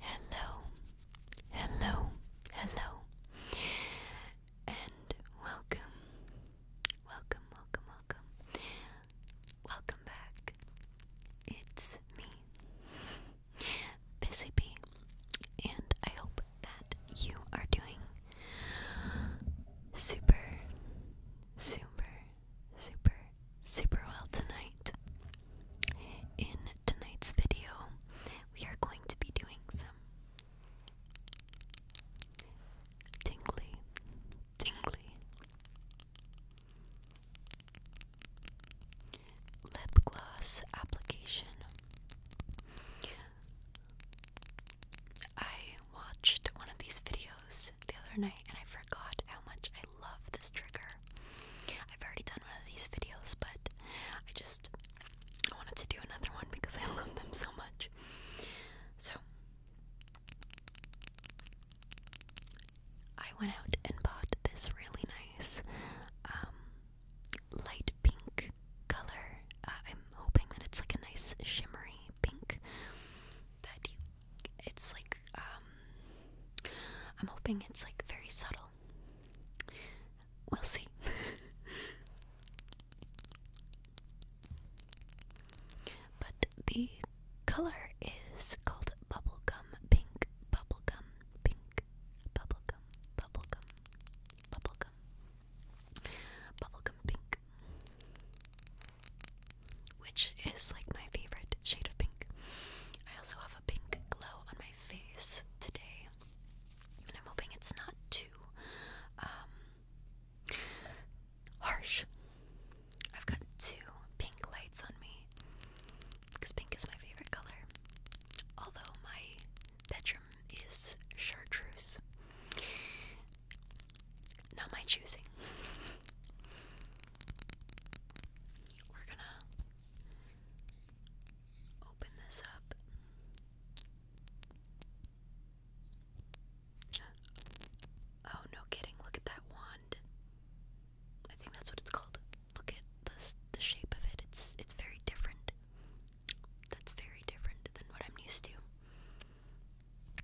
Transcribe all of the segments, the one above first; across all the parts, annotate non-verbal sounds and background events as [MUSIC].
Hello, hello, hello, and welcome, welcome, welcome, welcome, welcome back. It's me, Busy Bee, and I hope that you are doing super, super, super, super well tonight. In tonight's video, we are going to be doing some tingly, tingly lip gloss application. I watched one of these videos the other night and I forgot how much I love this trigger. I've already done one of these videos, but I just wanted to do another one because I [LAUGHS] love them so much. So, I went out and bought this really nice um, light pink color. Uh, I'm hoping that it's like a nice shimmery pink that you it's like um, I'm hoping it's like very subtle. We'll see. [LAUGHS] but the color is called bubblegum pink, bubblegum pink, bubblegum, bubblegum, bubblegum, bubblegum pink which is like my favorite shade of pink. I also have a pink glow on my face today, and I'm hoping it's not too um, harsh. I've got two pink lights on me because pink is my favorite color, although my bedroom is chartreuse. Not my choosing. We're gonna open this up. Oh, no kidding. Look at that wand. I think that's what it's called. Look at the the shape of it. It's it's very different. That's very different than what I'm used to.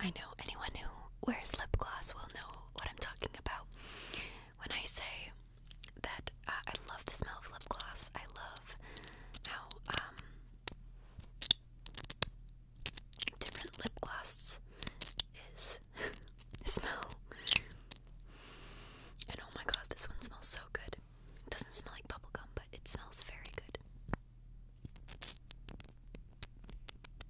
I know anyone who wears lip gloss will know what I'm talking about when I say that uh, I love the smell of lip gloss. I love how um, different lip gloss is [LAUGHS] smell. And oh my god, this one smells so good. It doesn't smell like bubblegum, but it smells very good.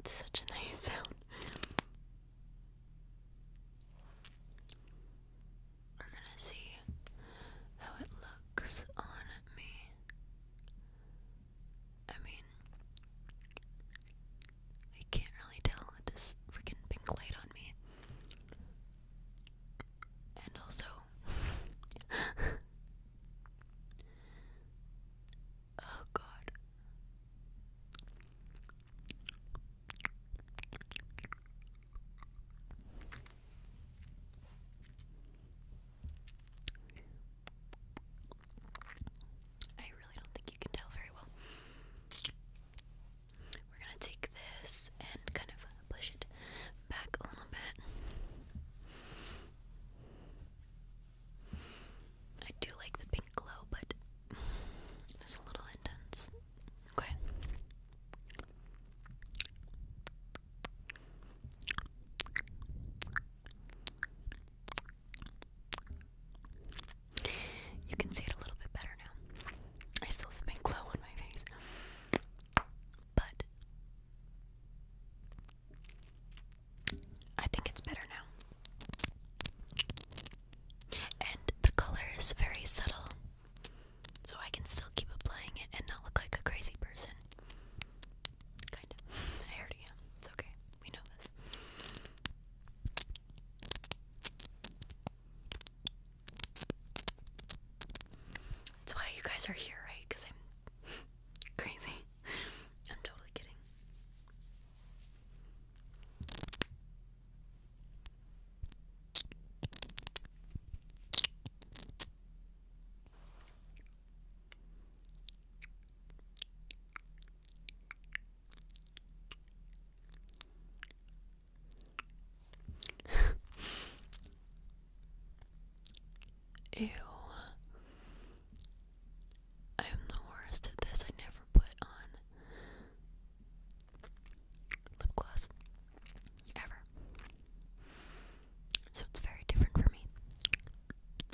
It's such a nice sound. We're gonna see how it looks on me. I mean, I can't really tell this freaking pink light on me. And also, [LAUGHS] oh god. I really don't think you can tell very well. We're gonna take this and kind of push it back a little bit. I do like the pink glow, but it's a little intense. Okay. You can see it a little bit better now. I still have my glow on my face. But I think it's better now. And the color is very subtle. So I can still keep applying it and not look like a crazy person. Kind of. [LAUGHS] I already am. It's okay. We know this. That's why you guys are here, right? Because I'm [LAUGHS] crazy. I'm totally kidding. Ew. I am the worst at this. I never put on lip gloss ever. So it's very different for me.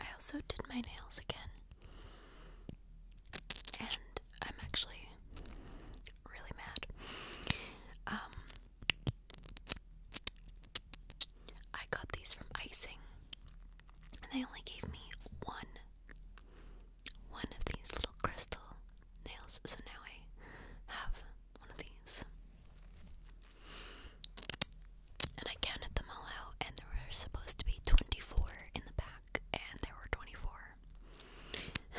I also did my nails again, and I'm actually really mad. Um, I got these from Icing, and they only gave me one one of these little crystal nails. So now I have one of these. And I counted them all out, and there were supposed to be 24 in the back, and there were 24.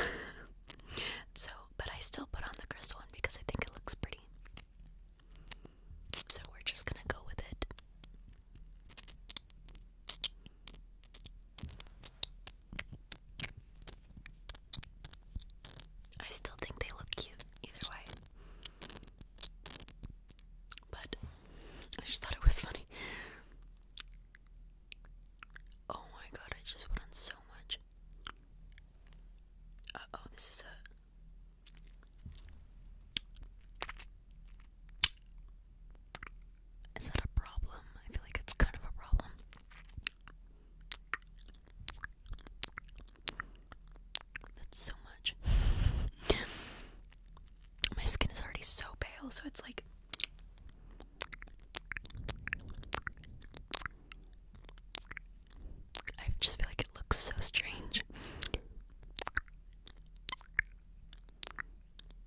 [LAUGHS] so, but I still put on the crystal one because I think it looks pretty. So we're just gonna go with it. I still think they look cute either way. But I just thought it was funny. Oh my god, I just put on so much. Uh oh, this is a. Is that a problem? I feel like it's kind of a problem. That's so much. [LAUGHS] My skin is already so pale, so it's like. I just feel like it looks so strange.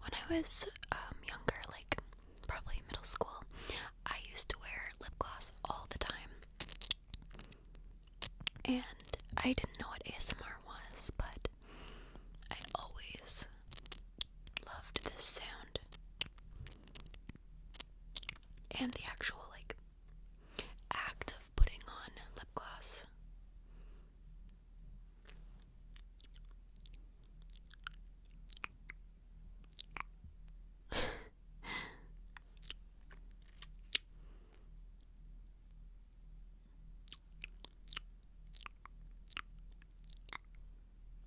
When I was um, younger, like probably middle school, I used to wear lip gloss all the time. And I didn't know what ASMR was, but I always loved this sound. And the actual, like, act of putting on lip gloss. [LAUGHS]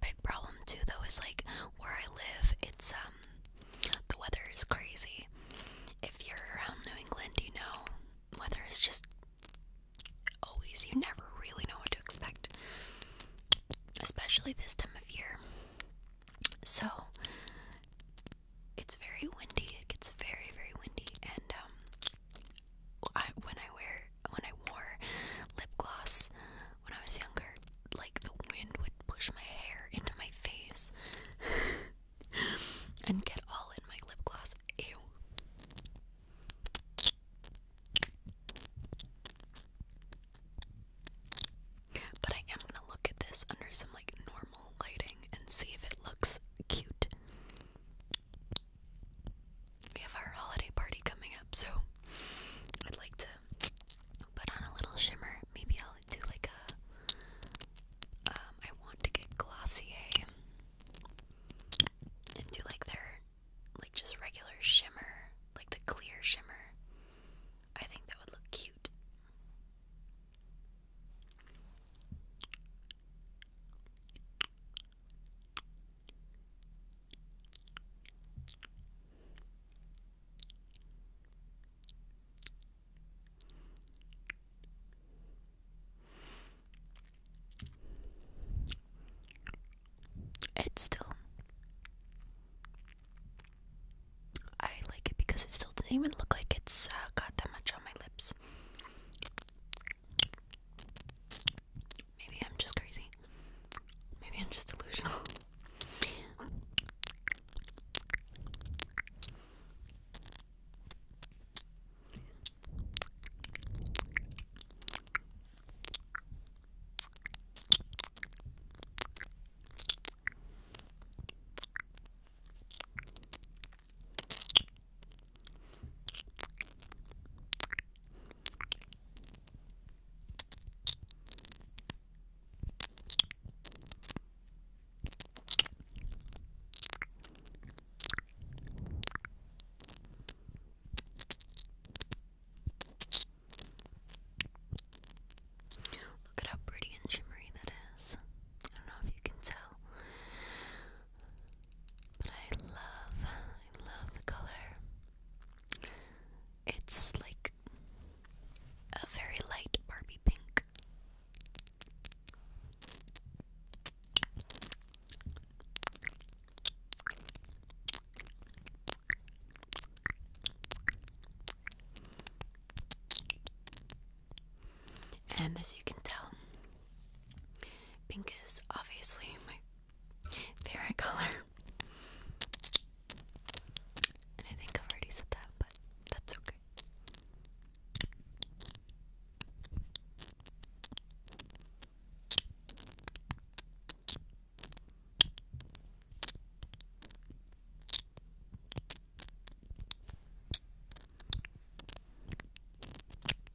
Big problem too though is like where I live, it's um the weather is crazy. If you're around New England, you know weather is just always you never really know what to expect. Especially this time of year. So it's very windy. It gets very, very windy and um I, when I wear when I wore lip gloss when I was younger, like the wind would push my hair into my face [LAUGHS] and get all in my lip gloss. Ew. But I am gonna look at this under some like normal lighting and see if it looks cute. We have our holiday party coming up, so I'd like to put on a little shimmer. Maybe I'll do like a. Um, I want to get Glossier and do like their, like just regular shimmer, like the clear shimmer. I think that would look cute. It's still. I like it because it still doesn't even look like it's uh, got that much on my lips. Maybe I'm just crazy. Maybe I'm just delusional. Look at how pretty and shimmery that is. I don't know if you can tell. But I love, I love the color. It's like a very light Barbie pink. And as you can tell, Pink is obviously my favorite color. And I think I've already said that, but that's okay.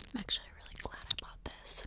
I'm actually really glad I bought this.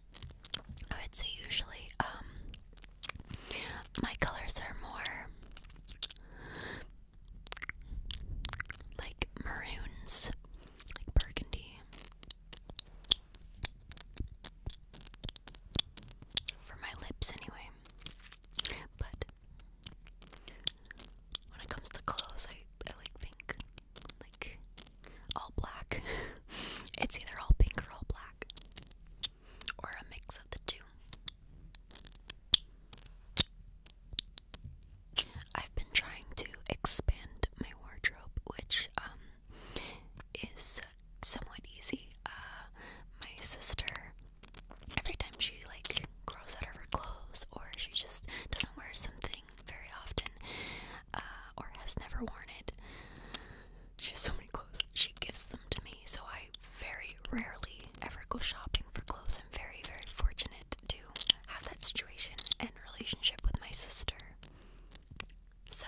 I would say usually um my colors are more like maroons, like burgundy. For my lips, anyway. But when it comes to clothes, I, I like pink. Like, all black. [LAUGHS] it's either all pink or all black, or a mix of the two. I've been trying to expand my wardrobe, which um is somewhat easy. Uh, my sister, every time she like grows out of her clothes or she just doesn't wear something, wearing very often uh, or has never worn it. She has so many clothes. She gives them to me, so I very rarely ever go shopping for clothes. I'm very, very fortunate to have that situation and relationship with my sister. So.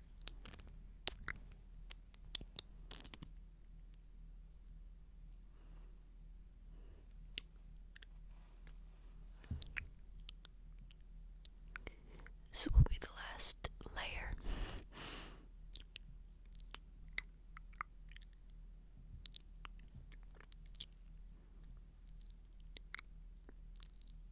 This will be the last layer.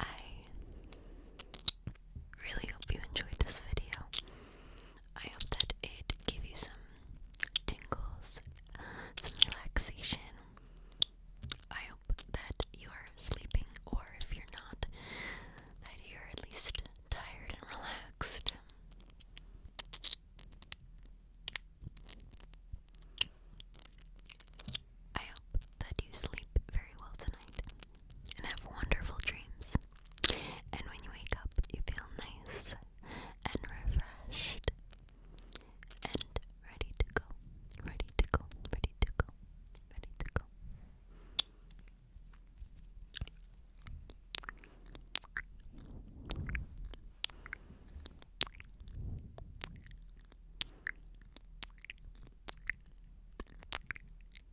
I really hope you enjoyed this video. I hope that it gave you some tingles, some relaxation. I hope that you are sleeping, or if you're not, that you're at least tired and relaxed. I hope that you sleep very well tonight and have wonderful dreams. And when you wake up, you feel nice and refreshed and ready to go, ready to go, ready to go, ready to go.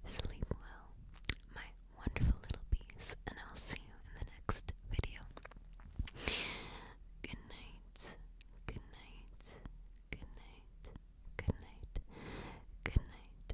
Sleep well, my wonderful little bees, and I'll see you in the next video. Good night, good night, good night, good night, good night.